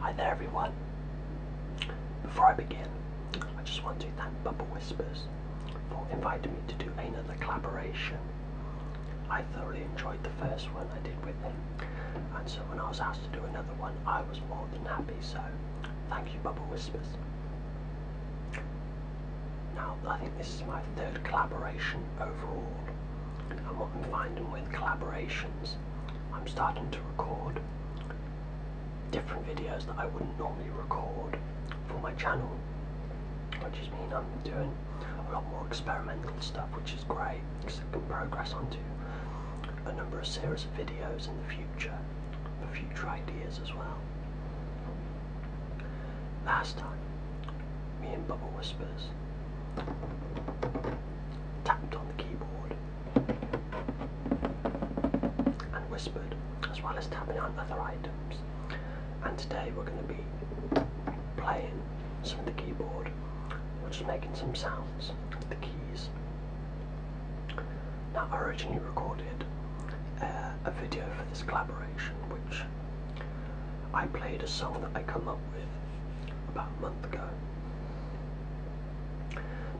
Hi there everyone. Before I begin, I just want to thank Bubble Whispers for inviting me to do another collaboration. I thoroughly enjoyed the first one I did with them, and so when I was asked to do another one, I was more than happy, so thank you Bubble Whispers. Now, I think this is my third collaboration overall, and what I'm finding with collaborations, I'm starting to record different videos that I wouldn't normally record for my channel, which is mean I'm doing a lot more experimental stuff, which is great because I can progress onto a number of series of videos in the future for future ideas as well. Last time, me and Bubble Whispers tapped on the keyboard and whispered as well as tapping on other items. And today we're going to be playing some of the keyboard, We're just making some sounds with the keys. Now, I originally recorded uh, a video for this collaboration, which I played a song that I come up with about a month ago,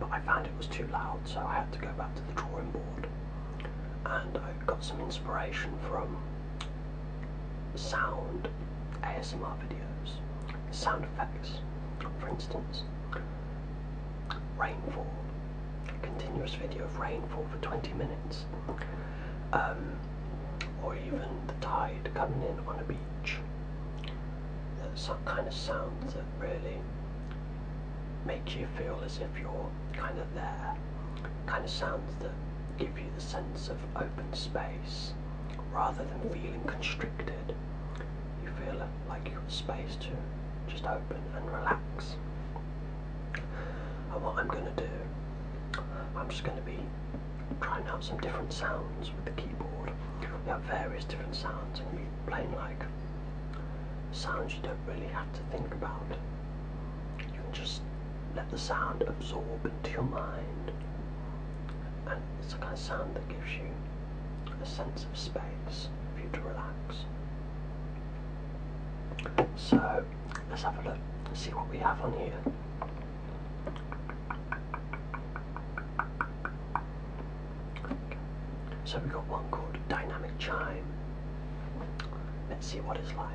but I found it was too loud, so I had to go back to the drawing board, and I got some inspiration from sound ASMR videos, sound effects, for instance rainfall. Continuous video of rainfall for 20 minutes. Um, or even the tide coming in on a beach. Uh, some kind of sounds that really make you feel as if you're kind of there. Kind of sounds that give you the sense of open space rather than feeling constricted. You feel it like your space to just open and relax. And what I'm going to do, I'm just going to be trying out some different sounds with the keyboard. We have various different sounds, and you we playing like sounds you don't really have to think about. You can just let the sound absorb into your mind, and it's the kind of sound that gives you a sense of space for you to relax. So let's have a look and see what we have on here. So we've got one called Dynamic Chime. Let's see what it's like.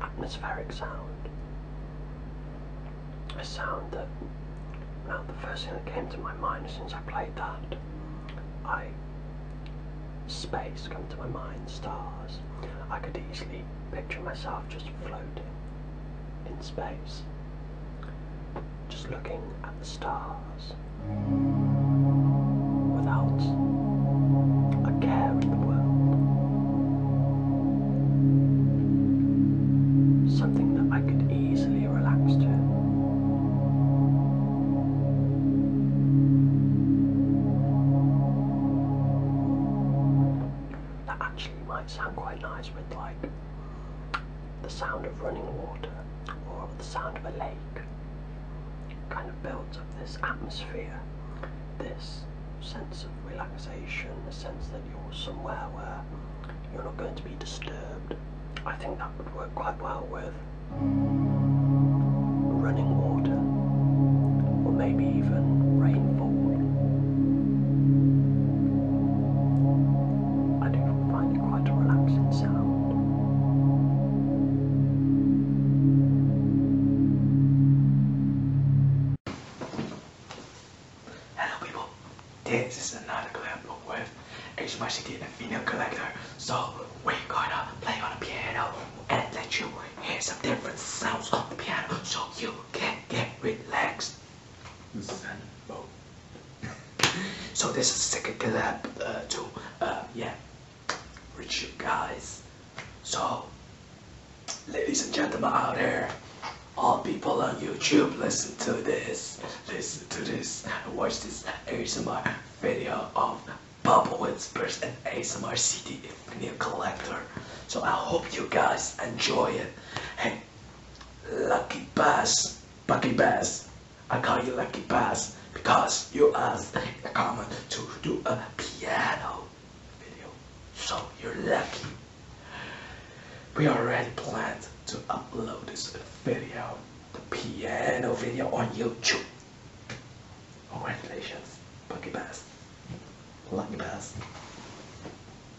atmospheric sound. A sound that, now the first thing that came to my mind since I played that, I space came to my mind, stars. I could easily picture myself just floating in space, just looking at the stars without a care in the world. Something that I could easily relax to. That actually might sound quite nice with like the sound of running water or the sound of a lake kind of builds up this atmosphere, this sense of relaxation, the sense that you're somewhere where you're not going to be disturbed. I think that would work quite well with running water or maybe even rainfall. I do find Hello people, this is another clip with HMICD and Vinyl Collector. So we're gonna play on the piano and let you hear some different sounds on the piano so you can get relaxed. Zen so this is second clip uh, to uh, yeah, reach you guys. So, ladies and gentlemen out there, all people on YouTube, listen to this, listen to this, watch this ASMR video of Bubble Whispers and ASMR CD Infinite Collector. So I hope you guys enjoy it. Hey, Lucky Bass, lucky Bass, I call you Lucky Bass because you asked in the comment to do a piano video. So you're lucky. We already planned to upload this video, the piano video on YouTube. Congratulations, Lucky Bass. Lucky Bass.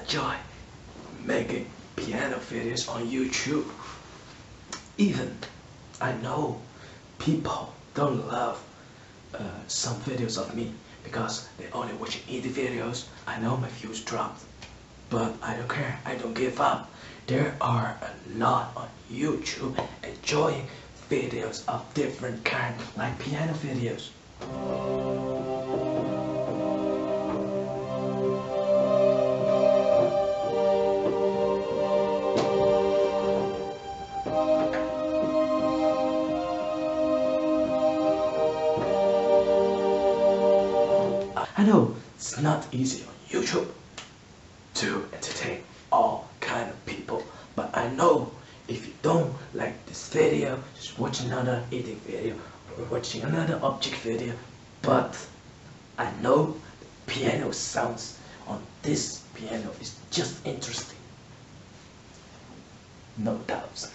enjoy making piano videos on YouTube. Even I know people don't love uh, some videos of me because they only watch indie videos. I know my views dropped, but I don't care. I don't give up. There are a lot on YouTube enjoying videos of different kind, like piano videos. I know it's not easy on YouTube to entertain all kind of people, but I know if you don't like this video, just watch another eating video or watching another object video, but I know the piano sounds on this piano is just interesting. No doubts.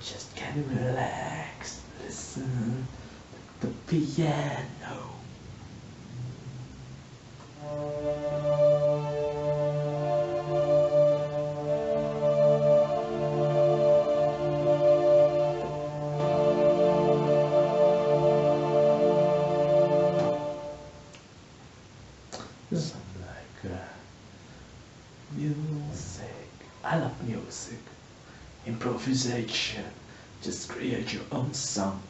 Just get relaxed. listen to the piano. Something like music. Uh, I love music. Improvisation. Just create your own song.